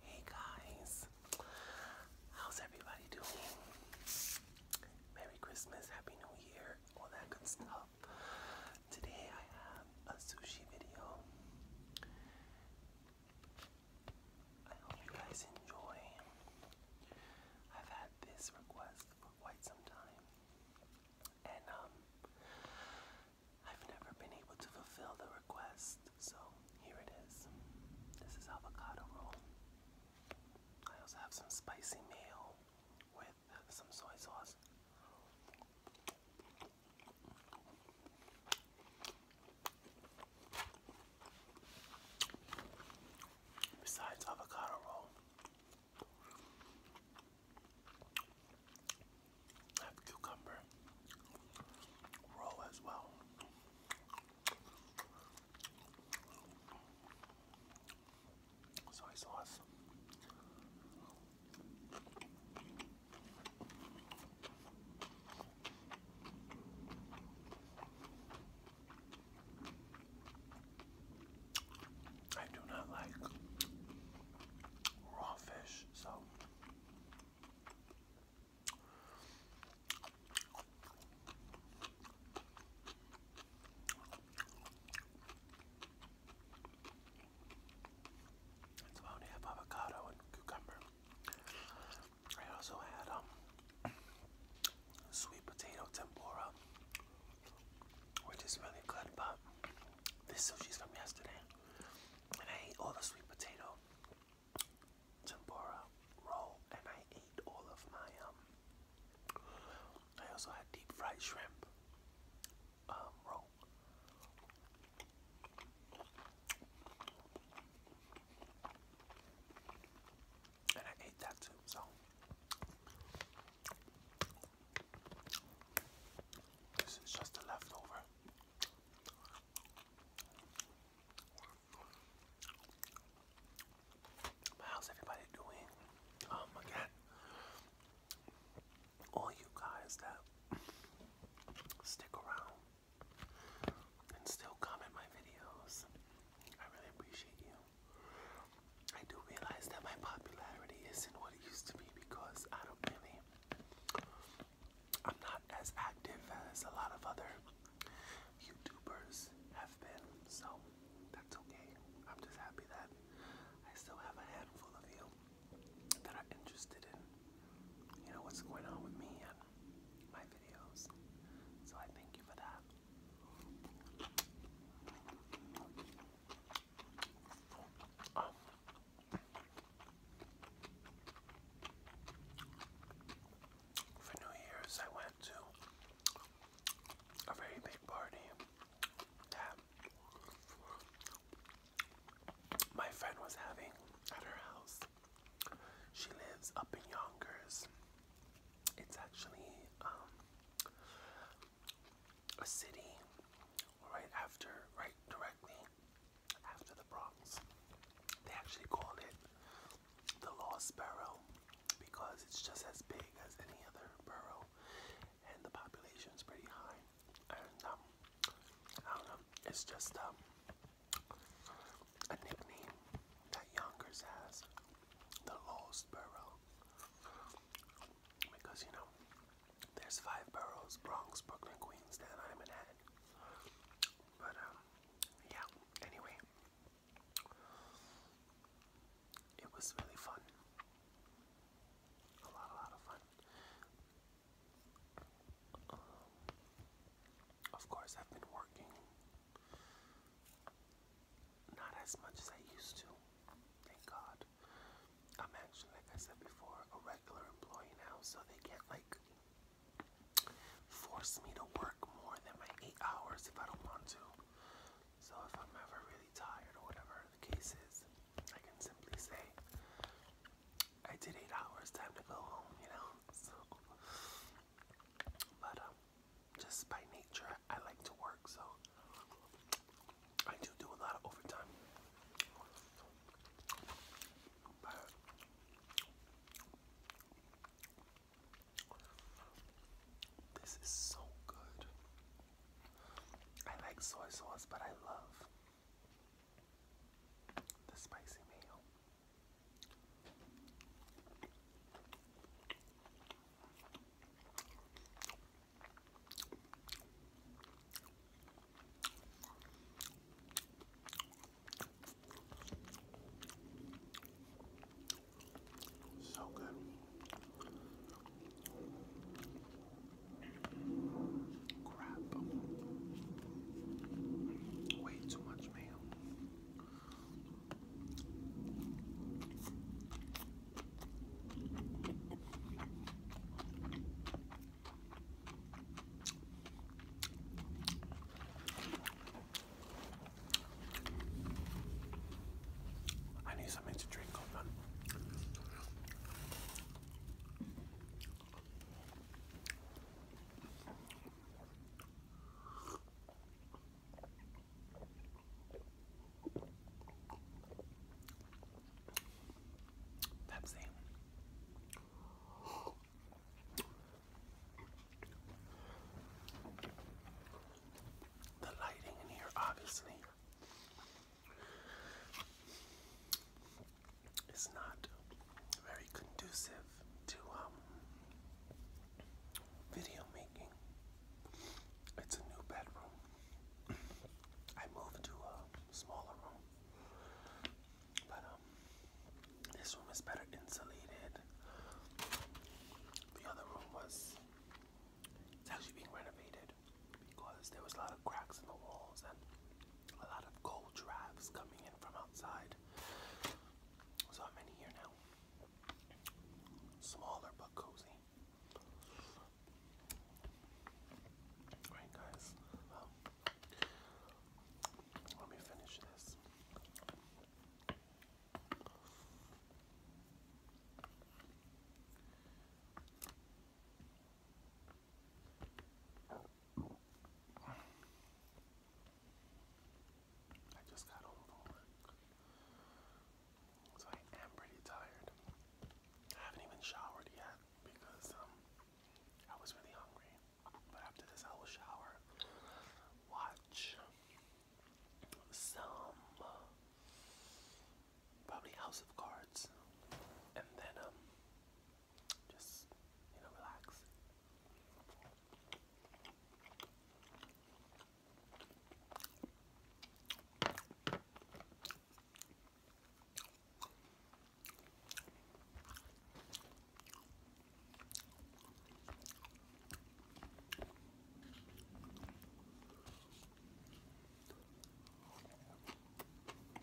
Hey guys, how's everybody doing? Merry Christmas, Happy New Year, all that good stuff. Today I have a sushi video. I hope you guys enjoy. I've had this request for quite some time, and um, I've never been able to fulfill the request, so here it is. This is avocado roll. I also have some spicy mayo with some soy sauce. Besides avocado roll, have cucumber roll as well. Soy sauce. I do not like raw fish, so so I only have avocado and cucumber. I also had um sweet potato tempura, which is really good, but this is from yesterday and I ate all the sweet potato tempura roll, and I ate all of my um. I also had deep fried shrimp um, roll. And I ate that too, so this is just a leftover. How's everybody doing? Um, again, all you guys that stick around and still comment my videos, I really appreciate you. I do realize that my popularity isn't what it used to be because I don't really, I'm not as active as a lot of other YouTubers have been, so that's okay. I'm just happy that I still have a handful of you that are interested in, you know, what's going on with me and my videos. So I thank you for that. For New Year's, I went to a very big party that my friend was having at her house. She lives up in Yonkers. It's actually um, a city right after, right directly after the Bronx. They actually called it the Lost Borough because it's just as big as any other borough and the population is pretty high. And um, I don't know, it's just um, a nickname that Yonkers has, the Lost Borough. Because, you know, there's five boroughs Bronx, Brooklyn, Queens, Staten Island, But, um, yeah, anyway. It was really fun. A lot, a lot of fun. Um, of course, I've been working not as much as I used to, thank God. I'm actually, like I said before, a regular employee now, so they can like force me to work more than my eight hours if I don't want to. So if I'm ever really tired or whatever the case is, I can simply say, I did eight hours, time to go home, you know? but, um, just by nature, I like to work, so I do do a lot of overtime. this is so good. I like soy sauce, but I love the spicy mayo. So good. Crap. Way too much mayo. I need something to drink, hold on. That's The lighting in here, obviously, is not very conducive to um, video making. It's a new bedroom. I moved to a smaller room, but um, this room is better insulated. The other room was it's actually being renovated because there was a lot of cracks in the walls and a lot of cold drafts coming in from outside. So I'm in here now. Smaller but cozy. Alright guys, um, let me finish this. I just got home So I am pretty tired. I haven't even showered yet because um, I was really hungry. But after this I will shower. Watch some probably House of Cards. And then um just you know relax.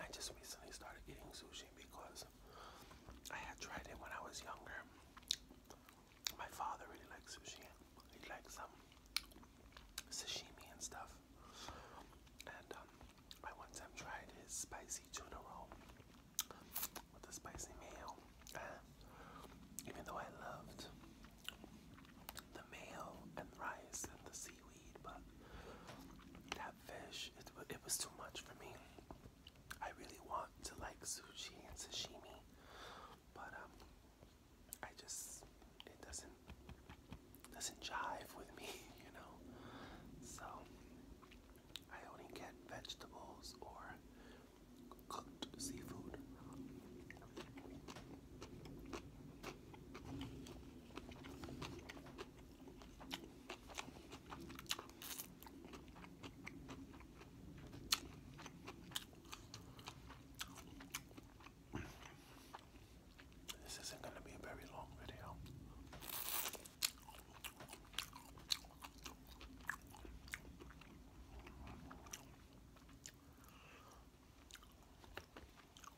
I just recently started eating sushi because I had tried it when I was younger. My father really likes sushi. He likes some um, sashimi and stuff. And um, I one time tried his spicy tuna roll with the spicy mayo. And even though I loved the mayo and rice and the seaweed, but that fish, it was too much for me. I really want to like sushi and sashimi, but um, I just it doesn't doesn't jive with me, you know. So I only get vegetables or cooked seafood. This isn't going to be a very long video.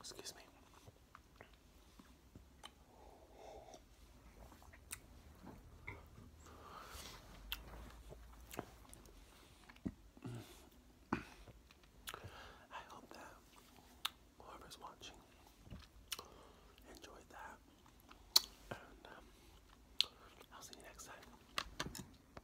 Excuse me. I hope that whoever's watching enjoyed that, and um, I'll see you next time.